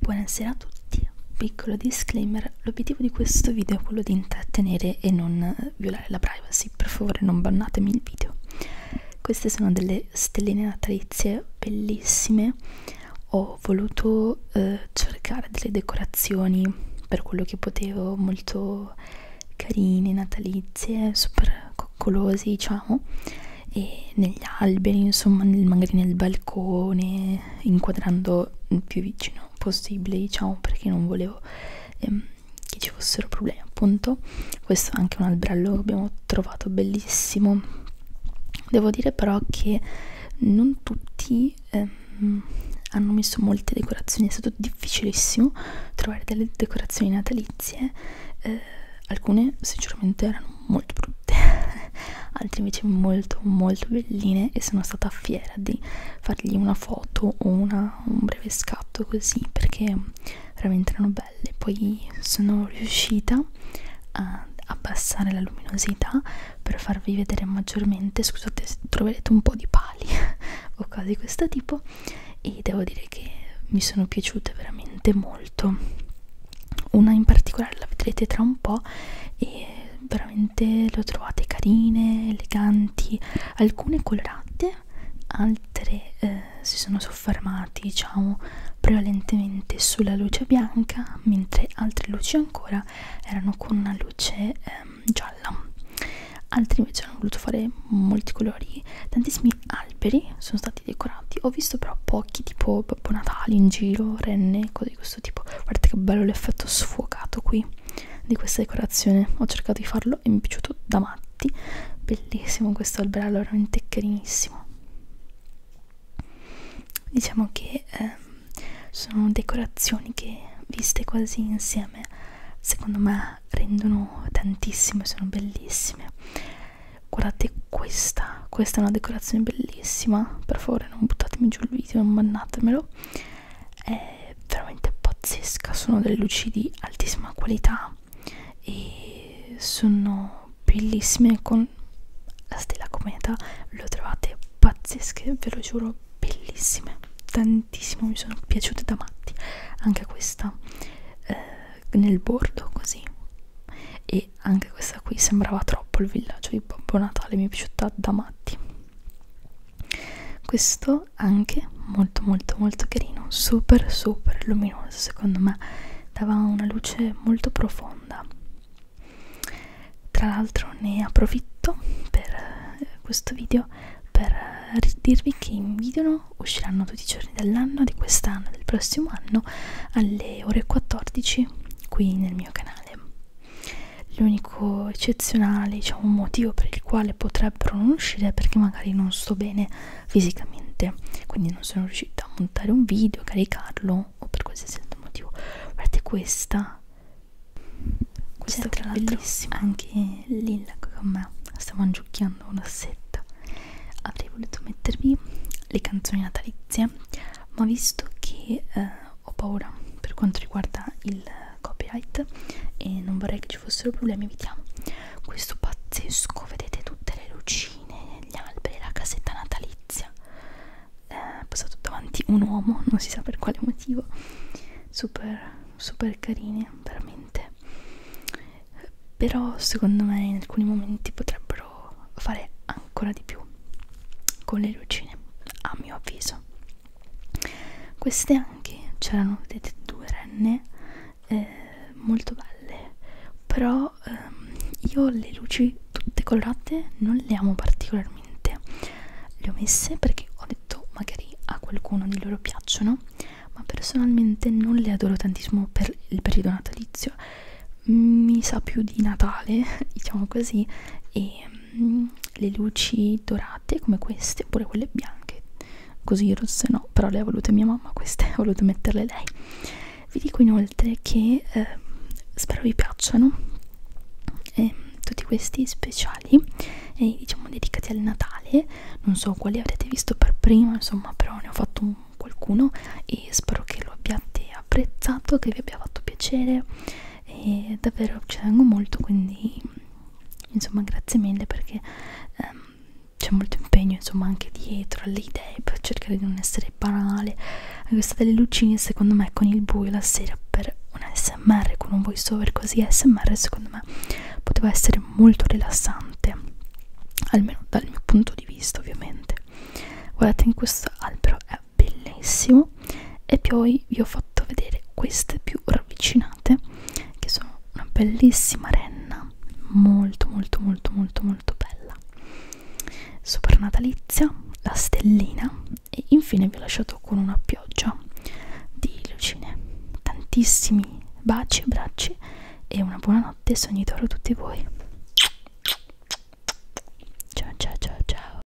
Buonasera a tutti, piccolo disclaimer, l'obiettivo di questo video è quello di intrattenere e non eh, violare la privacy, per favore non bannatemi il video. Queste sono delle stelline natalizie bellissime, ho voluto eh, cercare delle decorazioni per quello che potevo, molto carine, natalizie, super coccolosi diciamo e negli alberi, insomma, nel, magari nel balcone, inquadrando il più vicino possibile, diciamo, perché non volevo ehm, che ci fossero problemi, appunto. Questo è anche un alberello che abbiamo trovato bellissimo. Devo dire però che non tutti ehm, hanno messo molte decorazioni, è stato difficilissimo trovare delle decorazioni natalizie. Eh, alcune sinceramente erano molto brutte altre invece molto molto belline e sono stata fiera di fargli una foto o una, un breve scatto così perché veramente erano belle poi sono riuscita a abbassare la luminosità per farvi vedere maggiormente scusate se troverete un po' di pali o cose di questo tipo e devo dire che mi sono piaciute veramente molto una in particolare la vedrete tra un po' e veramente le ho trovate carine, eleganti alcune colorate altre eh, si sono soffermati diciamo prevalentemente sulla luce bianca mentre altre luci ancora erano con una luce ehm, gialla altri invece hanno voluto fare molti colori tantissimi alberi sono stati decorati ho visto però pochi tipo babbo natale in giro renne cose di questo tipo guardate che bello l'effetto sfocato qui di questa decorazione ho cercato di farlo e mi è piaciuto da matti bellissimo questo alberello veramente carinissimo diciamo che eh, sono decorazioni che viste quasi insieme secondo me rendono tantissimo sono bellissime guardate questa questa è una decorazione bellissima per favore non buttatemi giù il video non mannatemelo è veramente pazzesca sono delle luci di altissima qualità e sono bellissime con la stella cometa le trovate pazzesche ve lo giuro bellissime tantissimo mi sono piaciute da matti anche questa eh, nel bordo così e anche questa qui sembrava troppo il villaggio di Babbo Natale mi è piaciuta da matti questo anche molto molto molto carino super super luminoso secondo me dava una luce molto profonda tra l'altro ne approfitto per eh, questo video per eh, dirvi che in video usciranno tutti i giorni dell'anno, di quest'anno e del prossimo anno alle ore 14 qui nel mio canale. L'unico eccezionale diciamo, motivo per il quale potrebbero non uscire è perché magari non sto bene fisicamente, quindi non sono riuscita a montare un video, caricarlo amo o per qualsiasi altro motivo guardate questa questa tra l'altro anche Lilla con me stiamo mangiucchiando una setta avrei voluto mettervi le canzoni natalizie ma ho visto che eh, ho paura per quanto riguarda il copyright e non vorrei che ci fossero problemi evitiamo questo pazzesco vedete tutte le lucine agli alberi la casetta natalizia eh, passato davanti un uomo non si sa per quale motivo super super carine veramente però secondo me in alcuni momenti potrebbero fare ancora di più con le lucine a mio avviso queste anche c'erano vedete due renne eh, molto belle però ehm, io le luci tutte colorate non le amo particolarmente le ho messe perché ho detto magari a qualcuno di loro piacciono ma personalmente non le adoro tantissimo per il periodo natalizio mi sa più di Natale diciamo così e mm, le luci dorate come queste oppure quelle bianche così rosse no, però le ha volute mia mamma queste, ha voluto metterle lei. Vi dico inoltre che eh, spero vi piacciono eh, tutti questi speciali, eh, diciamo dedicati al Natale, non so quali avrete visto per prima, insomma però ne ho fatto un, qualcuno e spero che lo abbiate apprezzato, che vi abbia fatto piacere e davvero ci tengo molto quindi insomma grazie mille perché ehm, c'è molto impegno insomma anche dietro alle idee per cercare di non essere banale questa delle lucine secondo me con il buio la sera per un smr con un voice over così smr secondo me poteva essere molto rilassante almeno dal mio punto di vista ovviamente guardate in questo albero è bellissimo e poi vi ho fatto vedere queste più ravvicinate che sono una bellissima renna molto molto molto molto molto bella super natalizia la stellina e infine vi ho lasciato con una pioggia di lucine tantissimi baci e bracci e una buona notte sognitore a tutti voi ciao ciao ciao ciao